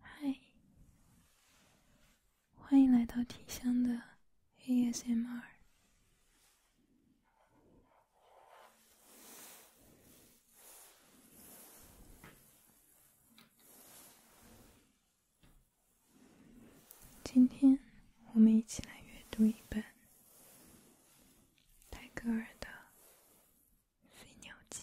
嗨，欢迎来到体香的 ASMR。今天我们一起来阅读一本。泰戈尔的《飞鸟集》。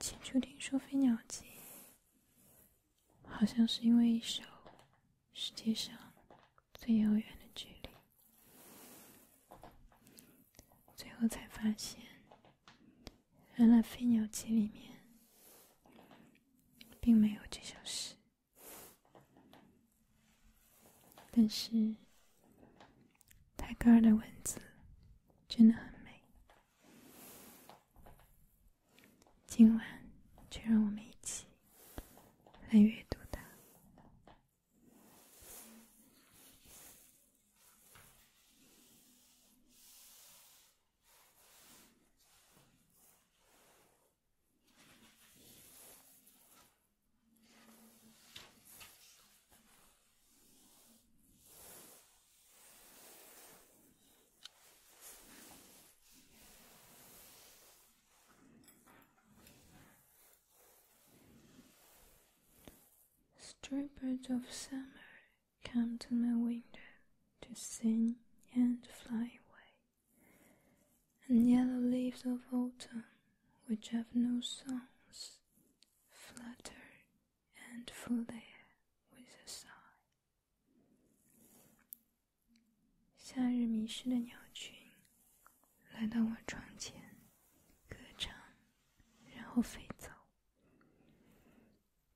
起初听说《飞鸟集》，好像是因为一首《世界上最遥远的距离》，最后才发现。原来《飞鸟集》里面并没有这首诗，但是泰戈尔的文字真的很美。今晚就让我们一起来阅读它。Strippers of summer come to my window to sing and fly away. And yellow leaves of autumn, which have no songs, flutter and fill the with a sigh. 夏日迷失的鸟群来到我窗前，歌唱，然后飞走。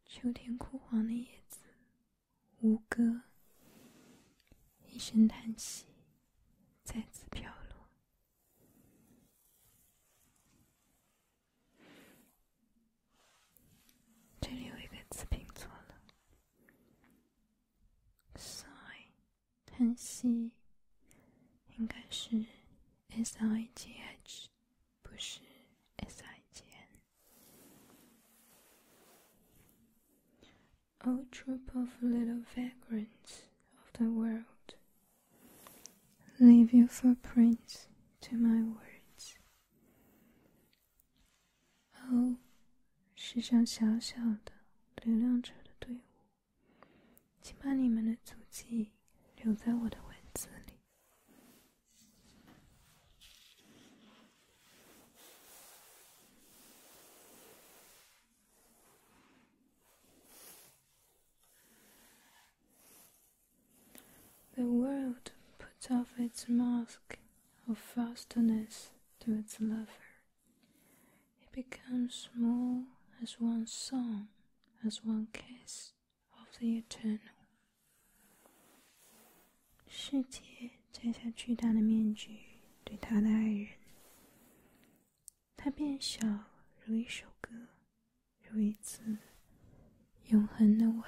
秋天枯黄的叶子，无歌，一声叹息，再次飘落。这里有一个字拼错了，sigh，叹息，应该是 s i g h。不是 S-I-G-N. O oh, troop of little vagrants of the world, leave your footprints to my words. 哦，是上小小的流浪者的队伍，请把你们的足迹留在我的文字里。the world puts off its mask of fastness to its lover. It becomes small as one song, as one kiss. 世界摘下巨大的面具，对他的爱人，他变小如一首歌，如一次永恒的吻。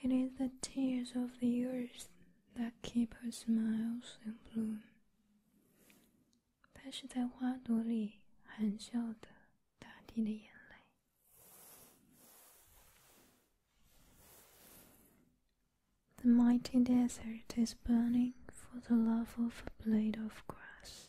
It is the tears of the earth that keep her smiles in bloom. the The mighty desert is burning for the love of a blade of grass.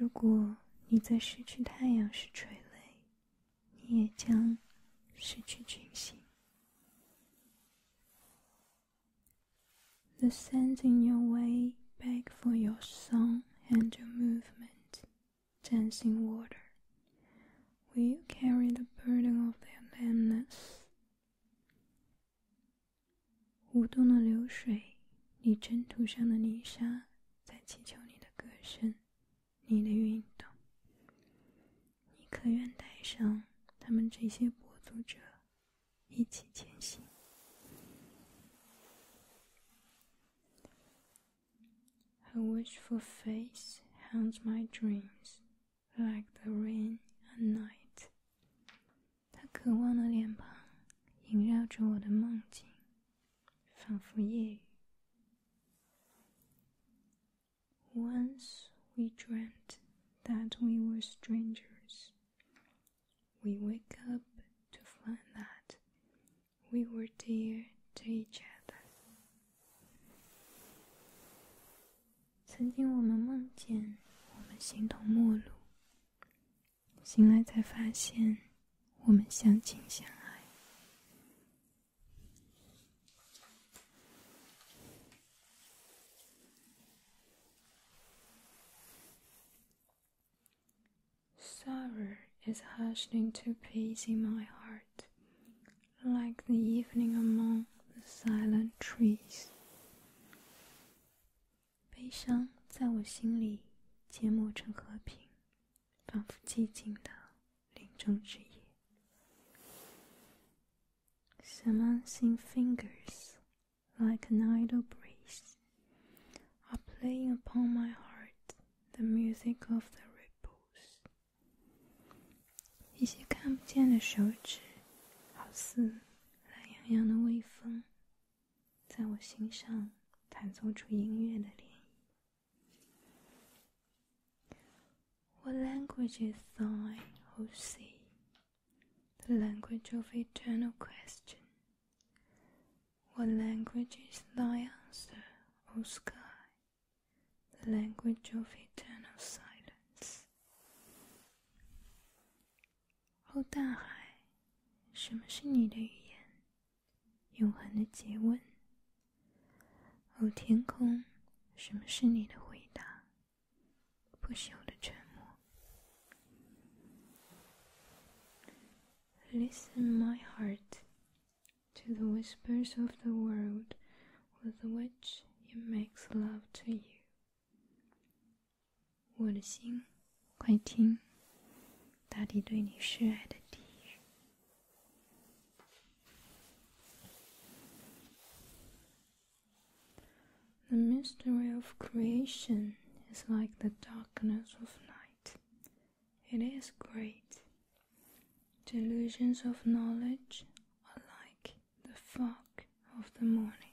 you The sands in your way beg for your song and your movement, dancing water. Will carry the burden of their lameness? 舞动的流水，你征途上的泥沙，在祈求你的歌声，你的运动。你可愿带上他们这些跛足者，一起前行？A wishful face haunts my dreams, like the rain a n d night. 他渴望的脸庞萦绕着我的梦境，仿佛夜雨。Once we dreamt that we were strangers, we wake up to find that we were dear to each other。曾经我们梦见我们形同陌路。Sorrow is hushed into peace in my heart, like the evening among the silent trees. 悲伤在我心里缄默成和平，仿佛寂静的林中之夜。Some unseen fingers, like an idle breeze, are playing upon my heart the music of the ripples。一些看不见的手指，好似懒洋洋的微风。What language is thine, O sea? The language of eternal question. What language is thy answer, O sky? The language of eternal silence. 哦，大海，什么是你的语言？永恒的诘问。哦，天空，什么是你的回答？不朽的沉默。Listen, my heart, to the whispers of the world, with which it makes love to you. 我的心，快听，大地对你示爱的低语。The mystery of creation is like the darkness of night. It is great. Delusions of knowledge are like the fog of the morning.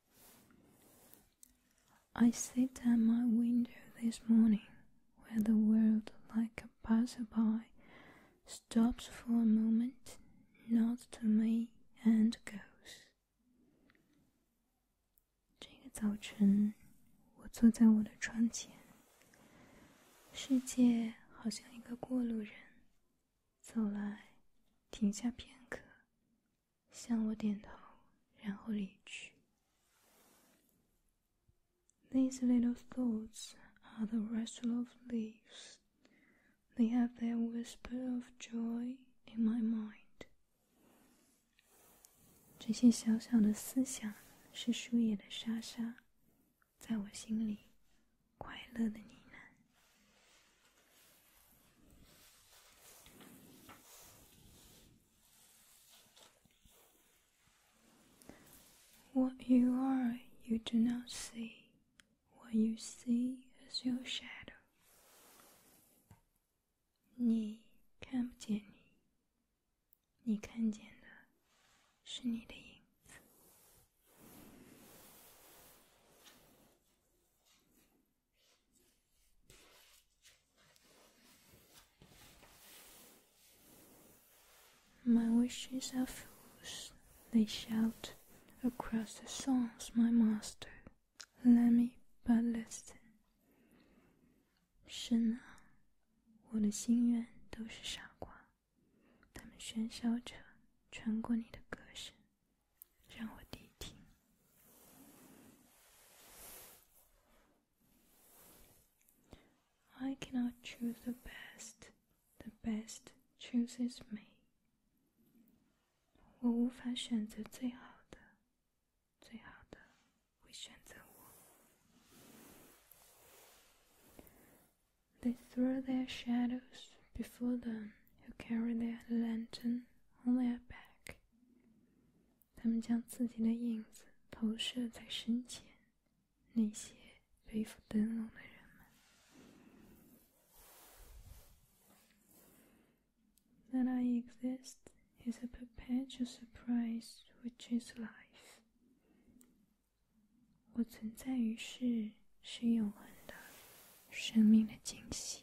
I sit at my window this morning, where the world, like a passerby, stops for a moment, nods to me, and goes. 这个早晨，我坐在我的窗前，世界好像一个过路人，走来，停下片刻，these little thoughts are the rustle of leaves. They have their whisper of joy in my mind. 这些小小的思想是树叶的沙沙，在我心里快乐的呢喃。what you are, you do not see. What you see is your shadow. 你看不见你，你看见的是你的影子。my wishes are fools, they shout across the songs, my master. Let me but listen. 神啊，我的心愿都是傻瓜，他们喧嚣着传过你的歌声，让我谛听。I cannot choose the best, the best chooses me. They throw their shadows before them who carry their lantern on their back. 他们将自己的影子投射在身前，那些背负灯笼的人们。That I exist is a perpetual surprise, which is life。我存在于世是永恒的，生命的惊喜。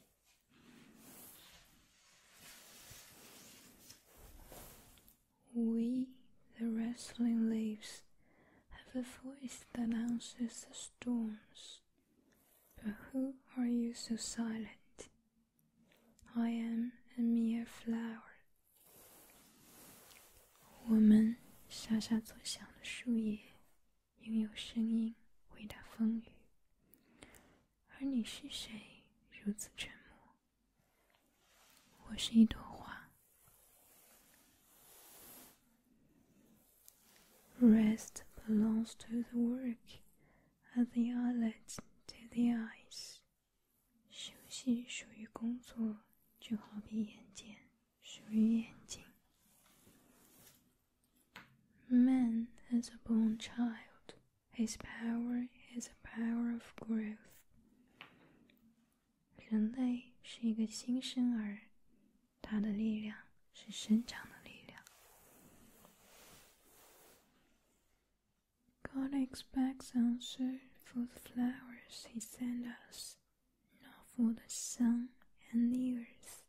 We, the rustling leaves, have a voice that answers the storms. But who are you so silent? I am a mere flower. a that are you, flower. 而你是谁？如此沉默。我是一朵花。Rest belongs to the work, at the outlet to the eyes. 休息属于工作，就好比眼睑属于眼睛。Man is a born child. His power is a power of growth。人类是一个新生儿，他的力量是生长的力量。God expects answer for the flowers He sends us, not for the sun and the earth.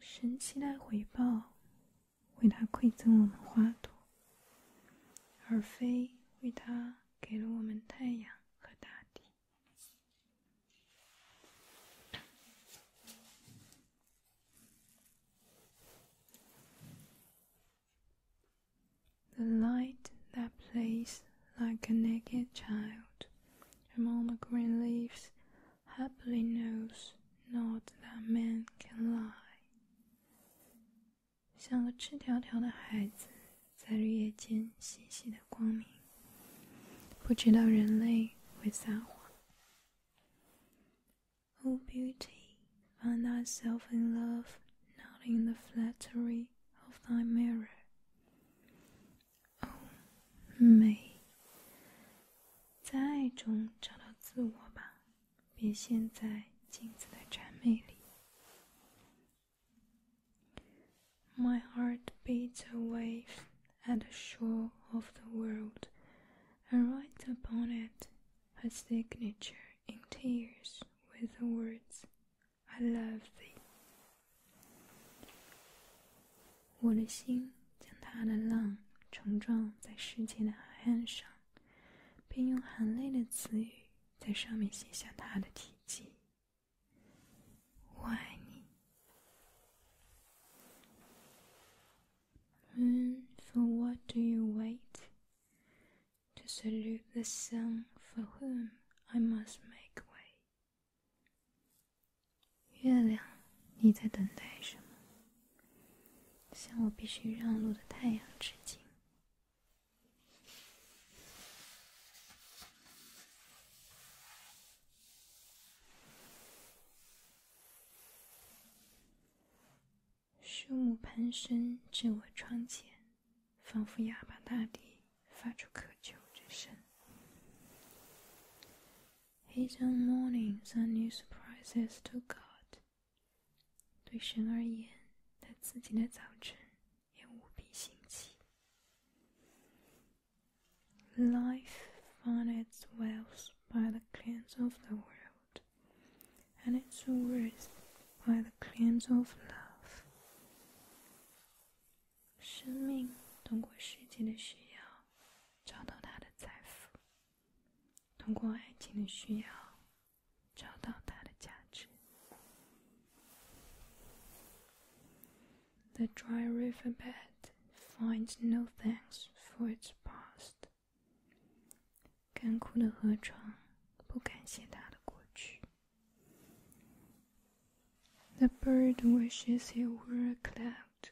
神期待回报为他馈赠我们花朵，而非为他给了我们太阳和大地。The light that plays like a naked child among the green leaves happily knows not that man can lie。像个赤条条的孩子，在日夜间细细的光明，不知道人类会撒谎。O oh, beauty, find thyself in love, not in the flattery of thy mirror. O oh, May, my heart beats a wave at the shore of the world, and writes upon it a signature in tears with the words, I love thee. 我的心将他的浪冲撞在世界的海岸上，并用含泪的词语在上面写下他的体积。我爱你。嗯。for what do you wait? To salute the sun for whom I must make way. 月亮，你在等待什么？向我必须让路的太阳致敬。树木攀升至我窗前，仿佛哑巴大地发出渴求之声。黑灯 morning 三女 surprises to God。对神而言，他自己的早晨也无比新奇。Life found finds wealth by the claims of the world, and its worth by the claims of love。生命通过世界的需要找到它的财富。the dry riverbed finds no thanks for its past. The bird wishes he were a cloud.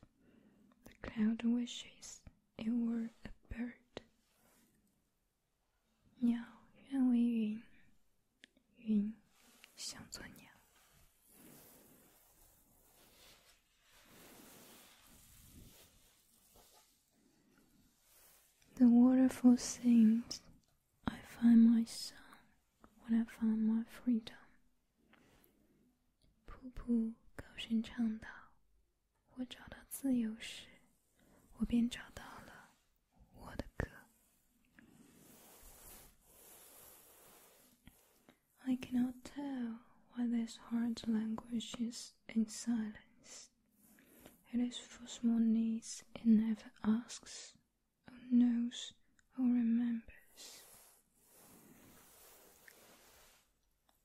The cloud wishes it were a bird. 鸟愿为云，云想做鸟。The waterfall sings, I find my song when I find my freedom. 瀑布高声唱道：“ I cannot tell why this heart languishes in silence. It is for small needs it never asks, or knows, or remembers.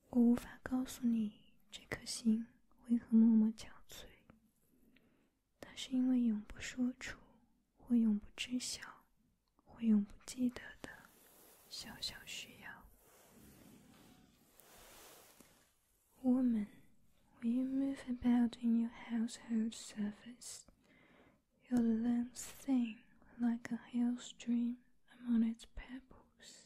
我无法告诉你，这颗心为何默默憔悴。它是因为永不说出，或永不知晓，或永不记得的小小需要。Woman, when you move about in your household s u r f a c e your lungs sing like a hailstream among its pebbles.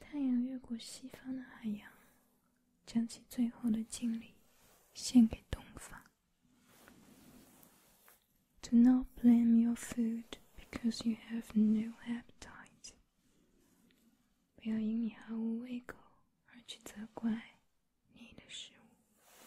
太阳越过西方的海洋，将其最后的敬礼献给东方。Do not blame your food because you have no appetite. 不要因你毫无胃口而去责怪你的食物。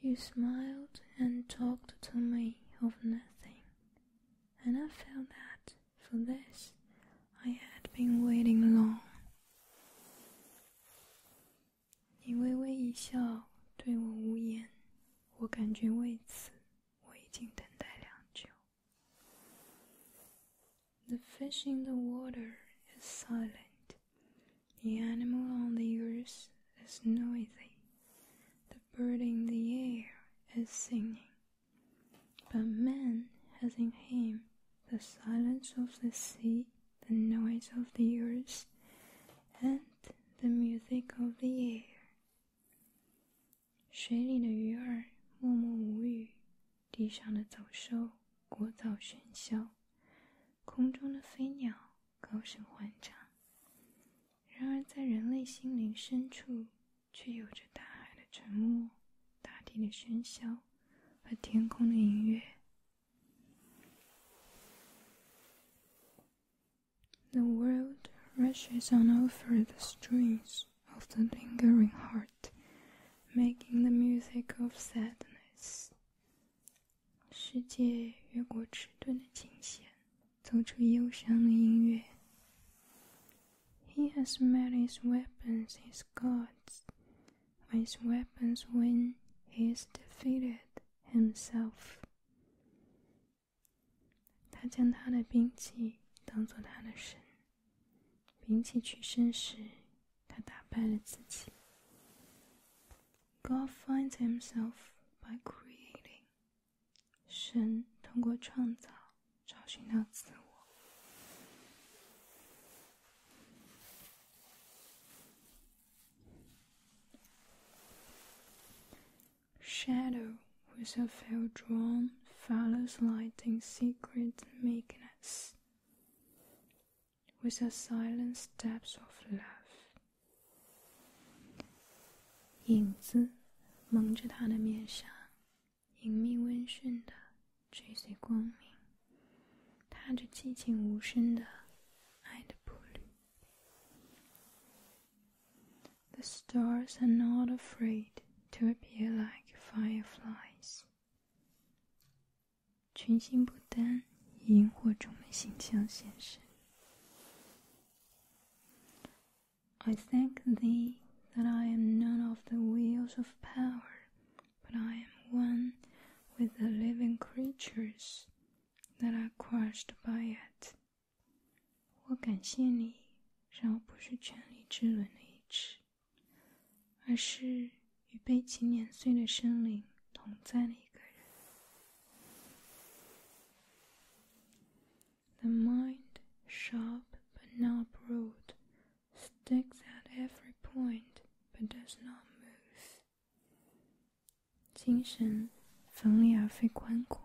You smiled and talked to me of nothing, and I felt that for this I had been waiting long. 你微微一笑，对我无言，我感觉为此我已经等待良久。the fish in the water is silent. The animal on the earth is noisy. The bird in the air is singing. But man has in him the silence of the sea, the noise of the earth, and the music of the air. 水里的鱼儿默默无语，地上的走兽聒噪喧嚣，空中的飞鸟高声欢唱。然而，在人类心灵深处，却有着大海的沉默、大地的喧嚣和天空的音乐。of the lingering heart, making the music of sadness. He has met his weapons, his gods. his weapons win, he is defeated himself. 他将他的兵器当做他的神。兵器取身时，他打败了自己。God finds himself by creating。神通过创造找寻到自我。shadow with her veil drawn follows light in secret meekness. With her silent steps of love，影子蒙着她的面纱，隐秘温顺的追随光明，踏着寂静无声的爱的步履。the stars are not afraid to appear like fireflies. 群星不单以萤火虫的形象现身。I thank thee that I am none of the wheels of power, but I am one with the living creatures that are crushed by it. 我感谢你，让我不是权力之轮的一只，而是与被情碾碎的生灵同在的一个人。The mind sharp but not broad, sticks at every point but does not move。精神锋利而非宽阔。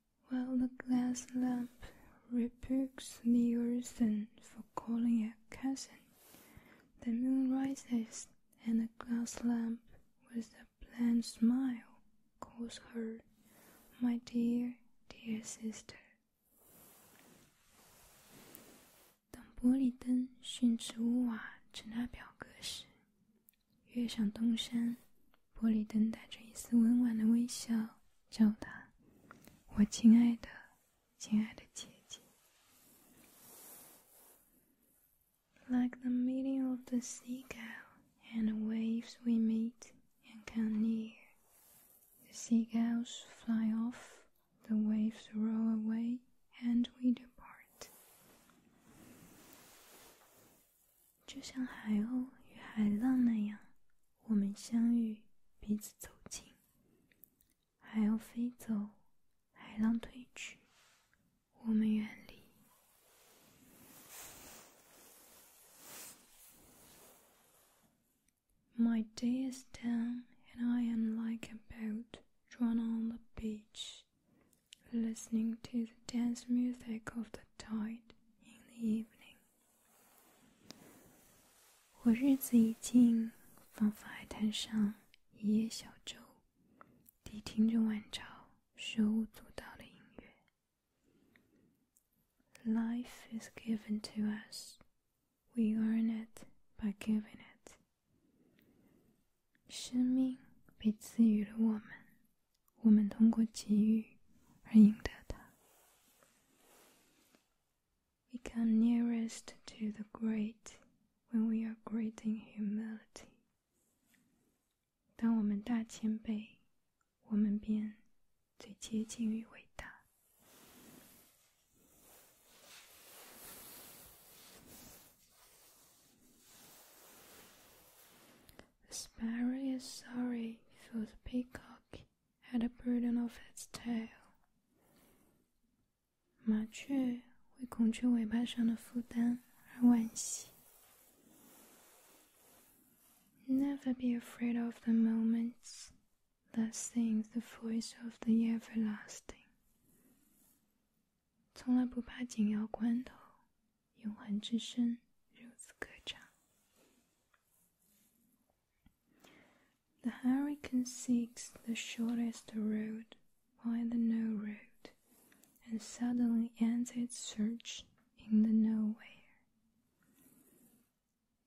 while the glass lamp rebukes the earthen for calling a cousin. The moon rises, and the glass lamp, with a bland smile, calls her, My dear, dear sister. 月上东山，玻璃灯带着一丝温婉的微笑，叫他：“我亲爱的，亲爱的姐姐。” Like the meeting of the seagull and the waves we meet and come near. The seagulls fly off, the waves roll away, and we depart. 就像海鸥与海浪那样，我们相遇，彼此走近；海鸥飞走，海浪退去，我们远离。My day is done, and I am like a boat drawn on the beach. listening to the dance music of the tide in the evening. 我日子已尽，仿佛海滩上一叶小舟，抵听着晚潮手舞足蹈的音乐。Life is given to us, we earn it by giving it. 我们通过给予而赢得它。We come nearest to the great when we are great in humility。当我们大谦卑，我们便最接近于伟大。The sparrow is sorry, for the peacock had a burden of its tail. 麻雀为孔雀尾巴上的负担而惋惜。Never be afraid of the moments. that sing the voice of the everlasting. 从来不怕紧要关头，the hurricane seeks the shortest road by the no road, and suddenly ends its search in the nowhere.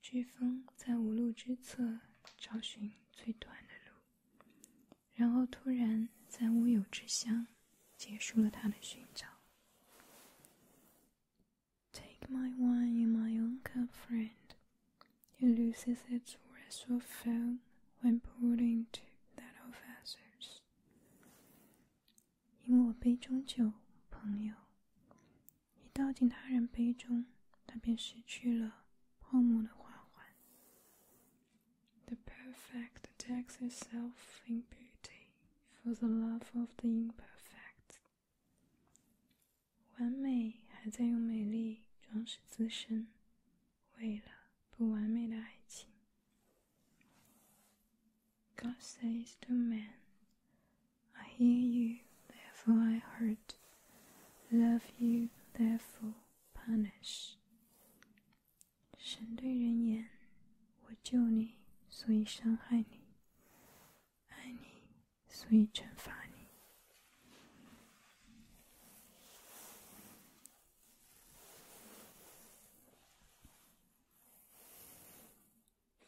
飓风在无路之侧找寻最短的路，然后突然在乌有之乡结束了他的寻找。Take my wine my own cup, friend. It loses its restful foam when poured into that of others. 饮我杯中酒，朋友。一倒进他人杯中，它便失去了泡沫的花环。The perfect decks itself in beauty for the love of the imperfect。完美还在用美丽装饰自身，为了不完美的爱情。God says to man, "I hear you, therefore I hurt; love you, therefore punish." 神对人言：“我救你，所以伤害你；爱你，所以惩罚你。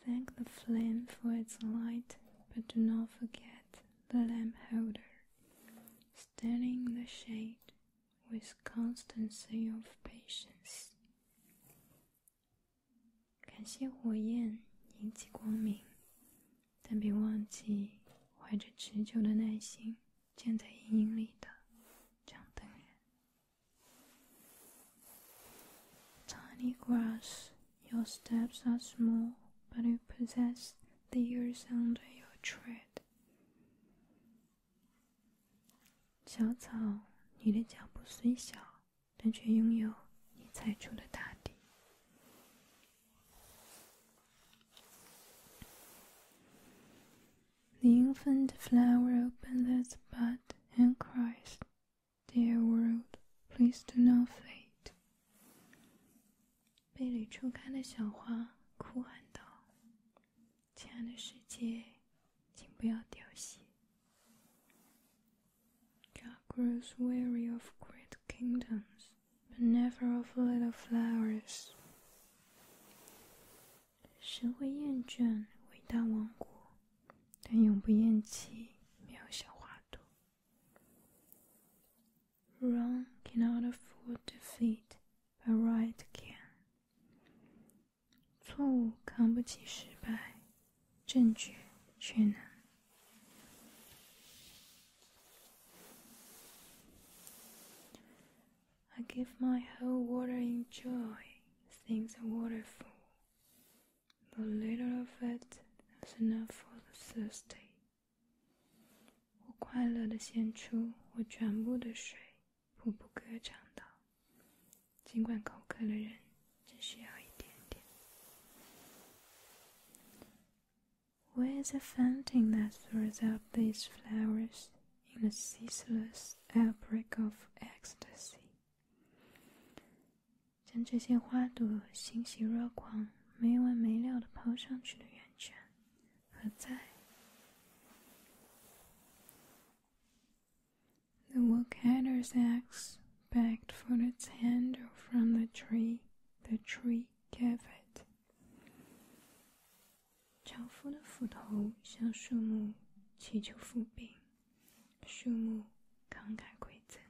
”Thank the flame for its light, but do not forget the lamp holder, standing the shade with constancy of patience. 感谢火焰引起光明，但别忘记怀着持久的耐心站在阴影里的张灯人。Tiny grass, your steps are small, but you possess the earth under your tread. 小草，你的脚步虽小，但却拥有你踩出的大地。The infant flower opens its bud and cries, "Dear world, please do not fade." 背里初开的小花哭喊道。这样的世界，请不要凋谢。God grows weary of great kingdoms, but never of little flowers. 谁会厌倦伟大王国，但永不厌弃渺小花朵？Wrong cannot afford defeat, but right can. 错误扛不起失败，正确却难。I give my whole water in joy, things a waterfall. The little of it is enough for the thirsty. 我快乐的献出我全部的水。瀑布歌唱道：“尽管口渴的人只需要一点点。” Where the fountain that throws up these flowers in a ceaseless outbreak of ecstasy，将这些花朵欣喜若狂、没完没了的抛上去的源泉，何在？The woodcutter's axe begged for its handle from the tree. The tree gave it. 樵夫的斧头向树木祈求复禀，树木慷慨馈赠。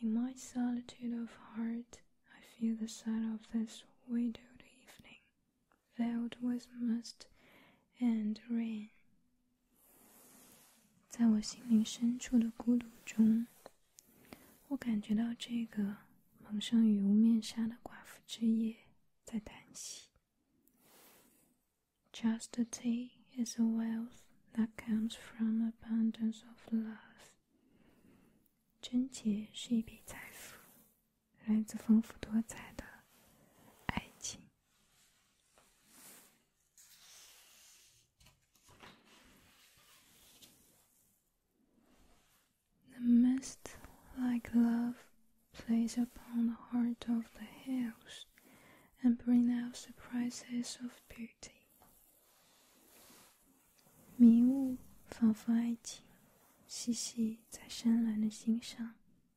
In my solitude of heart, I feel the sigh of this widowed evening filled with mist and rain. rain。在我心灵深处的孤独中，我感觉到这个蒙上羽绒面纱的寡妇之夜在叹息。Chastity is a wealth that comes from abundance of love. love。贞洁是一笔财富，the mist, like love, plays upon the heart of the hills and brings out surprises of beauty. 迷雾仿佛爱情，细细在深蓝的心上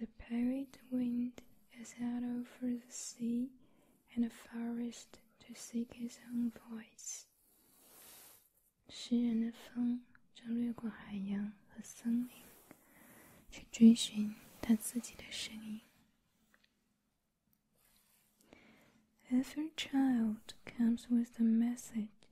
The parried wind is out over the sea and the forest to seek his own voice. Every child comes with a message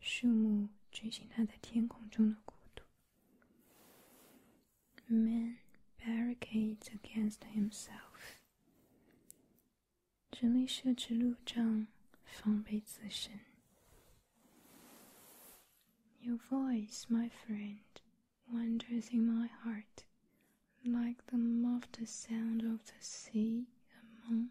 树木追寻他在天空中的孤独。Man barricades against himself，人类设置路障，防备自身。Your voice, my friend, wanders in my heart like the muffled sound of the sea among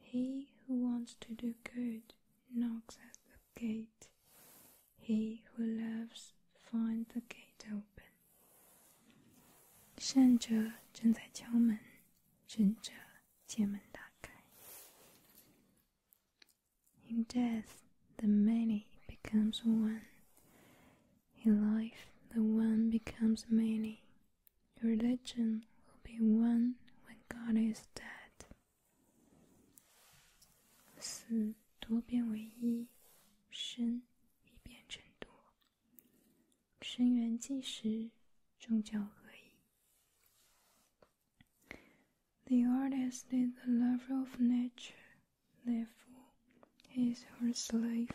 He who wants to do good knocks at the gate. He who loves finds the gate open. 善者正在敲门，智者借门打开。In death, the many becomes one. In life, the one becomes many. Your religion will be one when God is dead. 死多变为一，生已变成多。生缘即时，终教合一。The artist is the lover of nature, therefore he is her slave.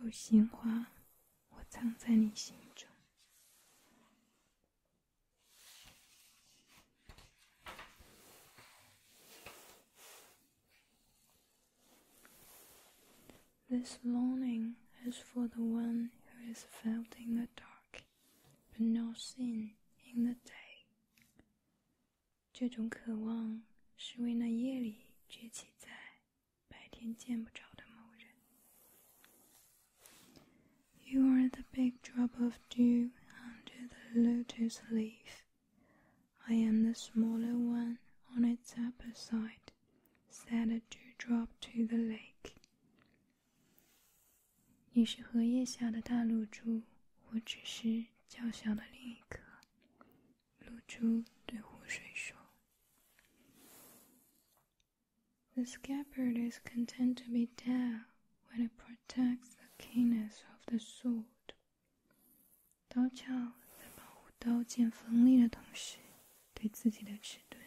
有鲜花，我藏在你心中。This longing is for the one who is felt in the dark, but not seen in the day。这种渴望是为那夜里崛起在。白天见不着的某人。You are the big drop of dew under the lotus leaf. I am the smaller one on its upper side. Said a dewdrop to the lake. 你是荷叶下的大露珠，我只是较小的另一颗。露珠对湖水说。The scabbard is content to be dull when it protects the keenness of the sword. 刀鞘在保护刀剑锋利的同时，对自己的迟钝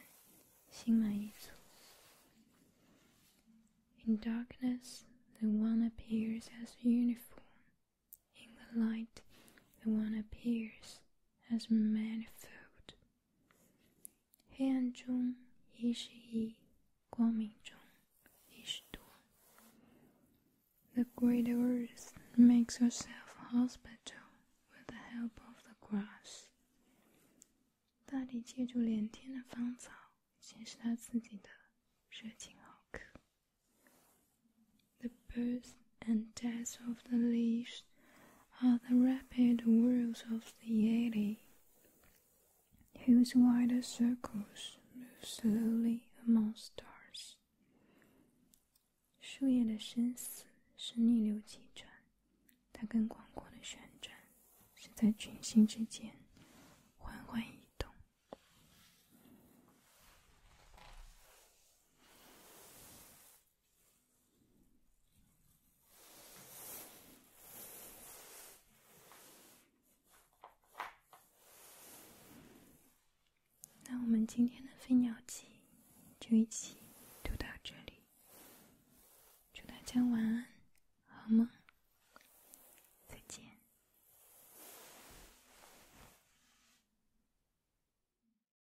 心满意足。In darkness, the one appears as uniform. In the light, the one appears as manifold. 黑暗中一是一，光明中一是多。The great earth makes herself hospital with the help of the grass. 大地借助连天的芳草，显示它自己的热情好客。the birth and death of the leaves are the rapid whirls of the eddy, whose wider circles move slowly among stars. 树叶的生死是逆流急转，它跟广阔的旋转是在群星之间缓缓移动。那我们今天的《飞鸟集》就一起读到这里。祝大家晚安，好梦，再见。